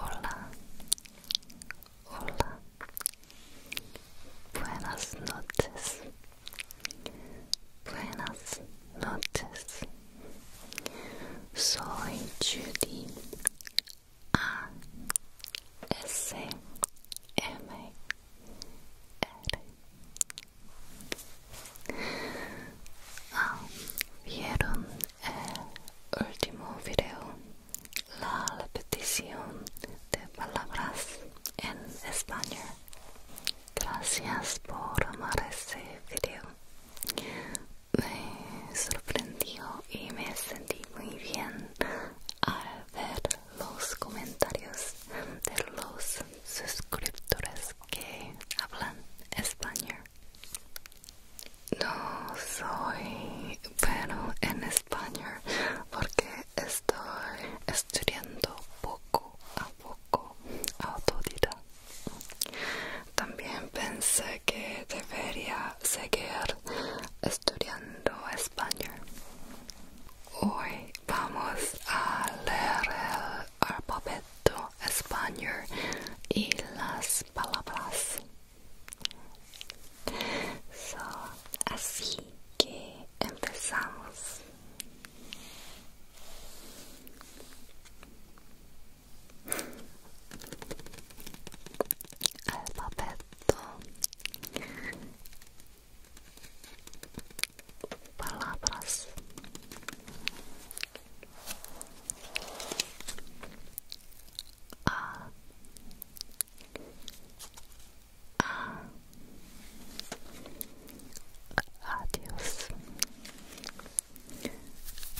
Hola, hola, buenas noches, buenas noches. Soy Judy A S M R Ah, ¿Vieron el último video? La repetición de palabras en español. Gracias por amar ese video. Me sorprendió y me sentí muy bien al ver los comentarios de los suscriptores que hablan español. No soy bueno en español porque estoy estudiando poco a poco autodidacta. También pensé que debería seguir estudiando español. Hoy vamos a leer el alfabeto alfabeto español y las palabras. así que empezamos. Alfabeto. Palabras. Ah. Ah. Adios.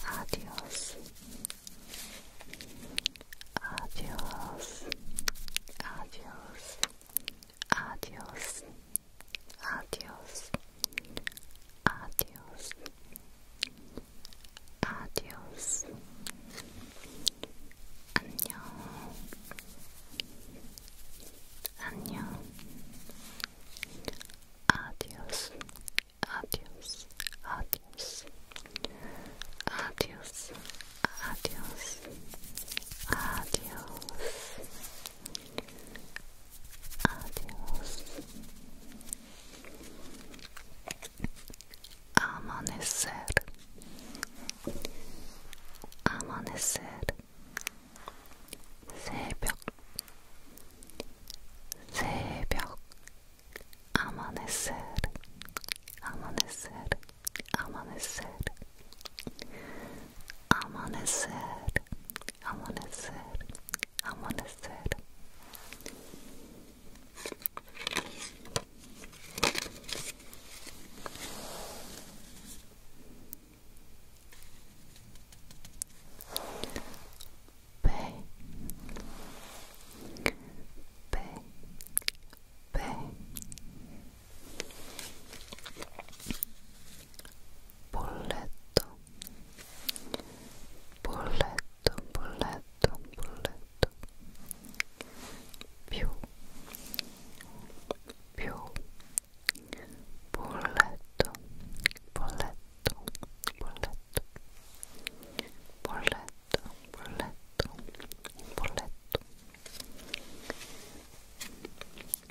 Adios. Adios. Adios. Adios. Adios. Adios. Adios. 안녕. 안녕. Adios. Adios. Adios. Adios. Adios. Adios. Adiós. Amanecer. Amanecer. 새벽. 새벽. Amanecer. Amanecer. Amanecer. Amanecer. Amanecer. amanecer. Ve, ve, ve, polletto, bolletto, bolletto, bolletto più più bolletto, bolletto, bolletto bolletto, bolletto, bolletto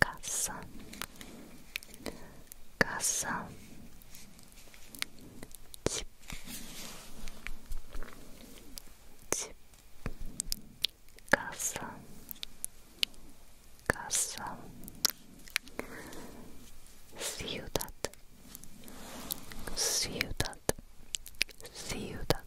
casa casa 집, 집, 가서, 가서, ciudad, ciudad, ciudad,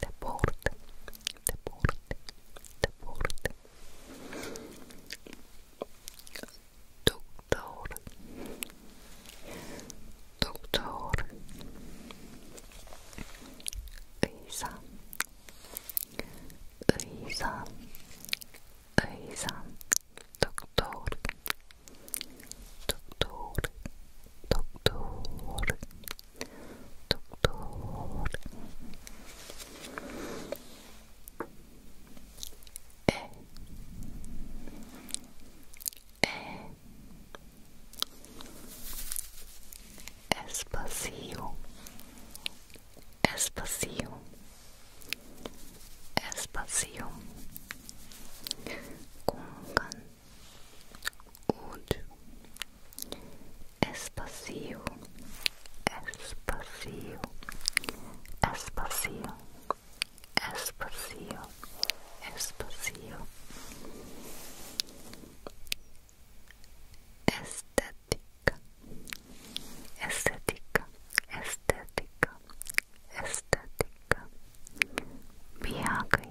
deporte, deporte, deporte. Doctor, doctor, 의사, 의사, 의사, doctor, doctor, doctor, Doutor é é espacio espacio espacio com und Espacio, Espacio, Espacio, Espacio, Espacio. Estética, estética, estética, estética. Viaje,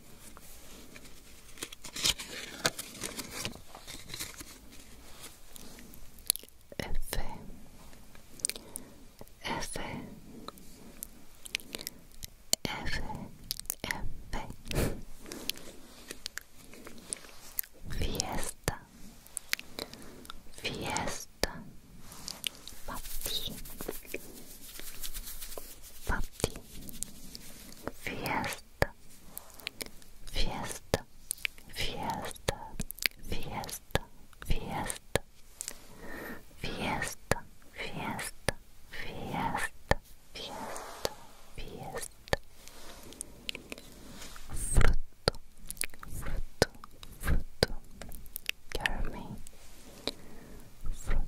F F F F Fiesta Fiesta Papi Papi fiesta, fiesta, fiesta, fiesta, fiesta, fiesta, fiesta, fiesta, fiesta, fiesta, fruto, fruto, fruto, caramel, fruto.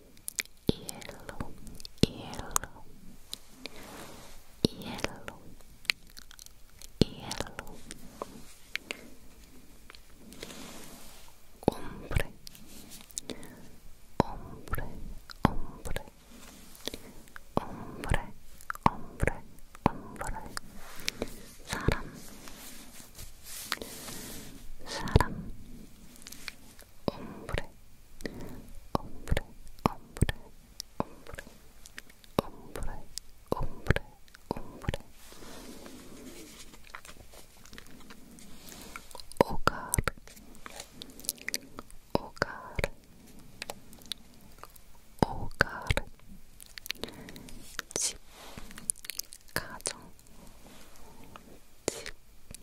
yellow, yellow, yellow, yellow. Hombre, hombre, hombre, hombre, hombre, hombre. 사람, 사람, 옴브레 옴브레 옴브레 옴브레 옴브레 옴브레 옴브레 오가르 오가르 오가르 집 가정 집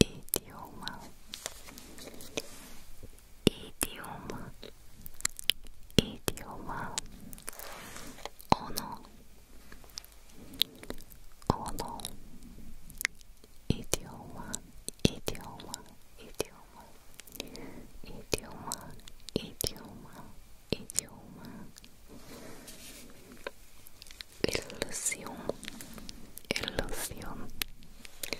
idioma idioma idioma ono ono idioma idioma idioma idioma idioma idioma ilusión ilusión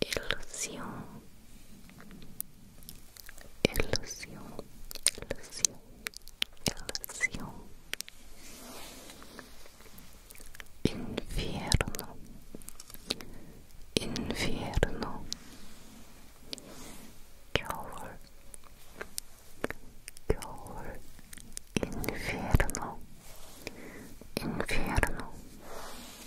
ilusión, ilusión, ilusión, ilusión, infierno, infierno, calor, calor, infierno, infierno.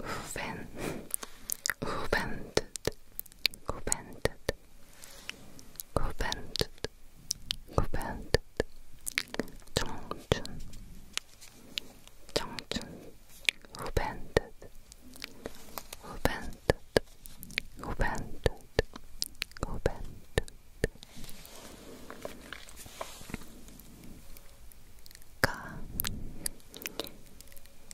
Juventud. Juventud. Juventud. Juventud. Juventud. 청춘. 청춘. Juventud. Juventud. Juventud. Juventud. Ka.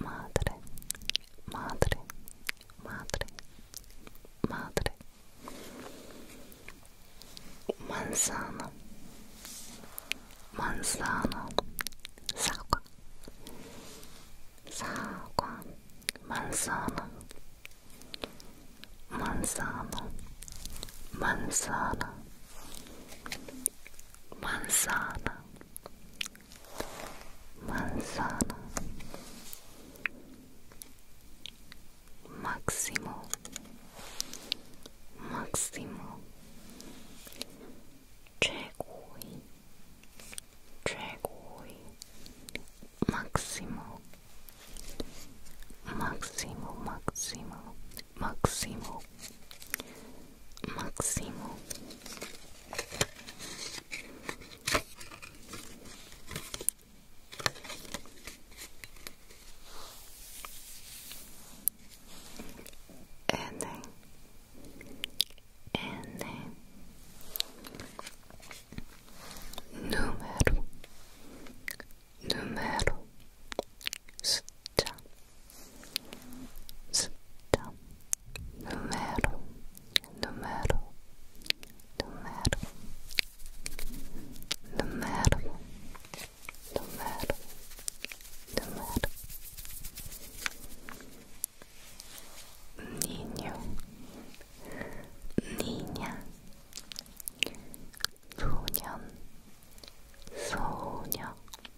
madre, madre, madre, madre, manzana, manzana, sagua, sagua, manzana, manzana, manzana, manzana manzana, máximo, máximo, 최고의, 최고의, máximo, máximo, máximo, máximo. Maximo. And then, and número, número, 숫자 숫자 numero numero numero numero numero numero niño niña 소년 소녀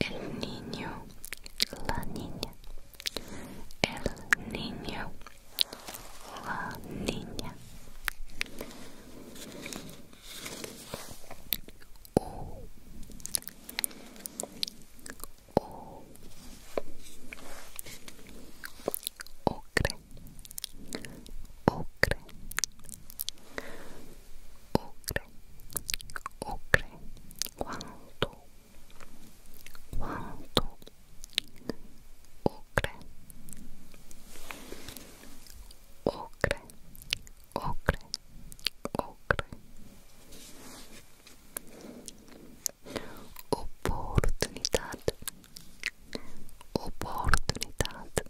el niño, la niña, el niño, la niña. O, o, ocre, ocre, ocre, ocre, quanto quanto ocre ocre ocre ocre opportuniteit opportuniteit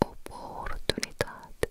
opportuniteit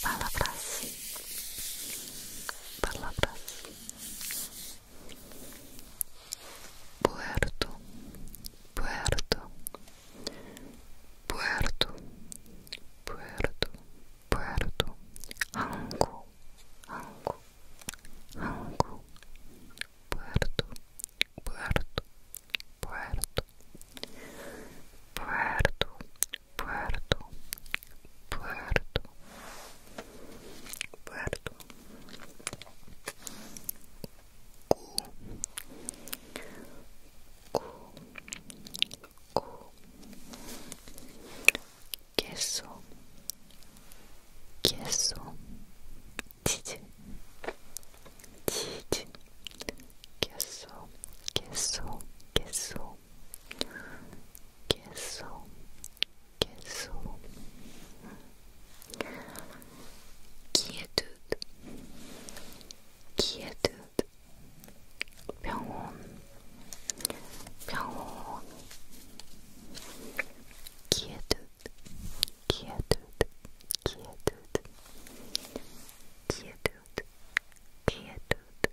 palabras, palabras. Puerto, puerto, puerto, puerto, puerto. Hangu, hangu, hangu. Puerto, puerto, puerto, puerto, Puerto, Puerto, Puerto, Cu, Cu, Cu, Queso, Queso, Tite, Tite, Queso, Queso, Queso. queso queso quietude quietude 병원 병원 quietude quietude quietude quietude quietude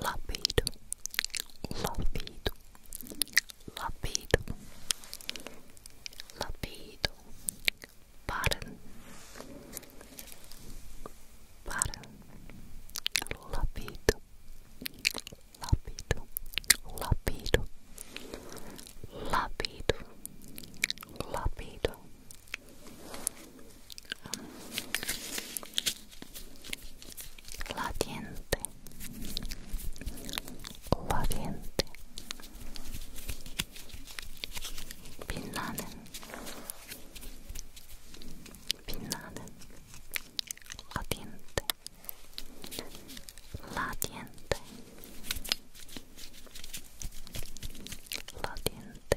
lápido, lápido, lápido, lápido, paren, paren, lápido, lápido, lápido, lápido, lápido. la diente la diente 빛나는 빛나는 la diente la diente la diente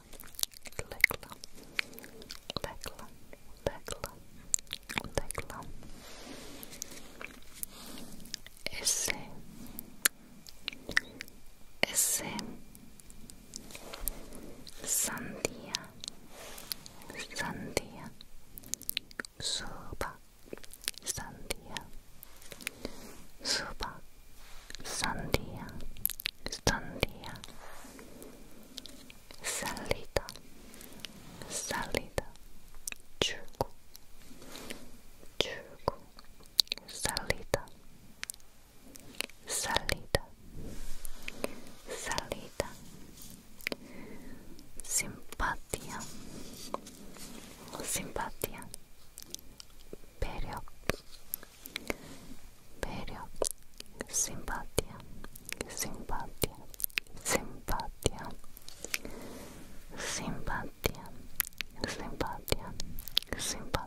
Lekla, Lekla, Lekla, Lekla. Esse, Esse, Sandia, Sandia, Suba, Sandia, Suba, Sandia, Sandia. salida, salida, chuco, chuco, salida, salida, salida, simpatia, simpatia, pero Pero simpatía, simpatía, simpatía, simpatía, simpatía, simpatía, simpatía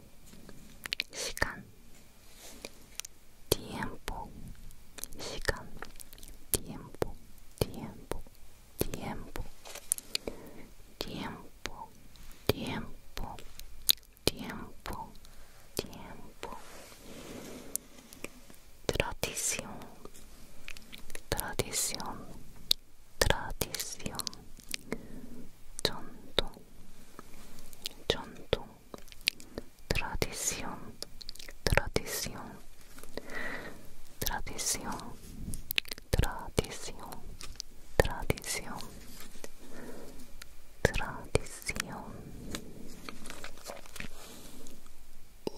시간 tiempo 시간 tiempo tiempo tiempo tiempo tiempo tiempo tiempo tradición tradición tradición 전통, 전통, tradición, tradición, tradición, tradición, tradición, tradición. U,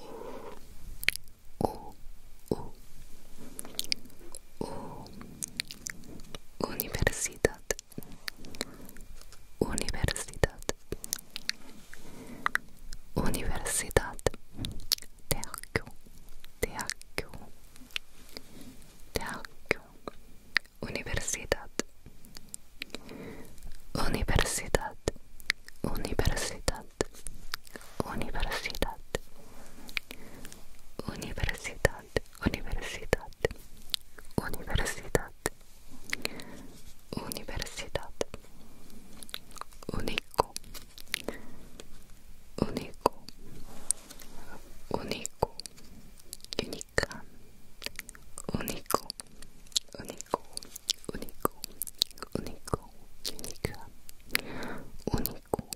u, u, Universidad Universidad Universidad THQ THQ THQ Universidad Universidad Universidad Universidad Universidad Universidad, Universidad, Universidad, Universidad, único, único, único, única, único, único, único, único, única, único,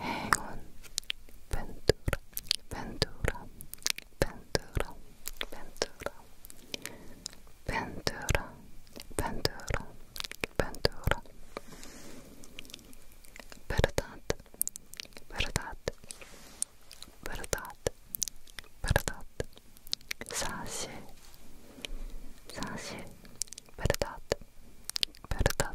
행운 벤투라 벤투라 벤투라 벤투라 벤투라 벤투라 벤투라 Verdad, verdad, verdad, verdad. 사실, 사실, verdad, verdad,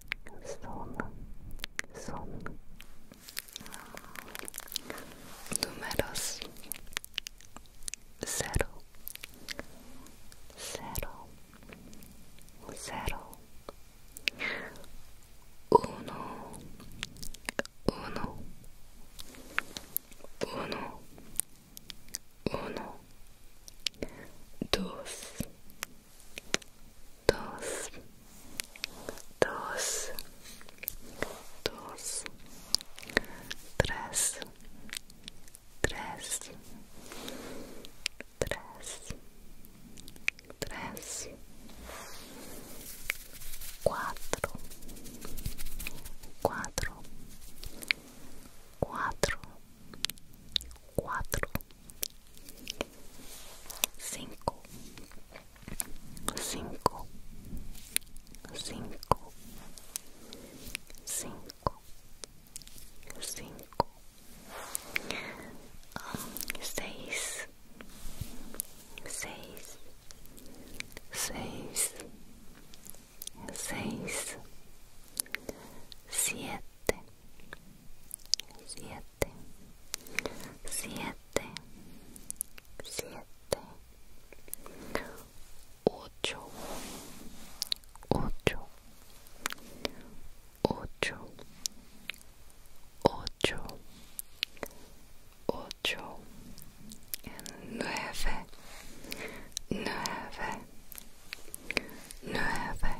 son, son números cero, cero, cero, uno, uno, uno, uno, dos, dos, dos, dos, três, três, três, três, quatro, quatro, quatro. cuatro, cinco, cinco, cinco, cinco, cinco, um, seis, seis, seis, seis, siete siete, siete, siete, ocho, ocho, ocho, ocho, ocho, nueve, nueve, nueve.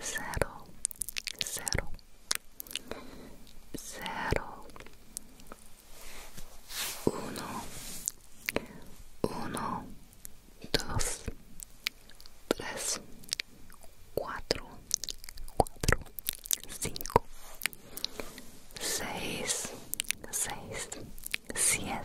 cero, cero, cero, uno, uno, dos, tres, cuatro, cuatro, cinco, seis, seis, siete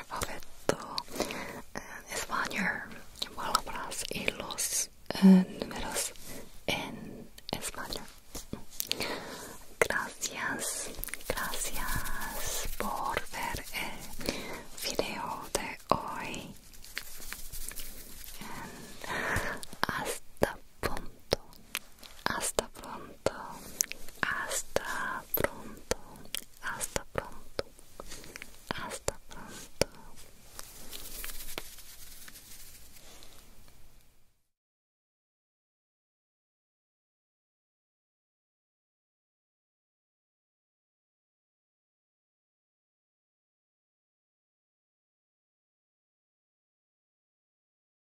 alfabeto en eh, español, palabras y los eh, números en español. Gracias, gracias por ver el video de hoy. Hasta pronto, hasta pronto hasta pronto, hasta pronto, hasta pronto.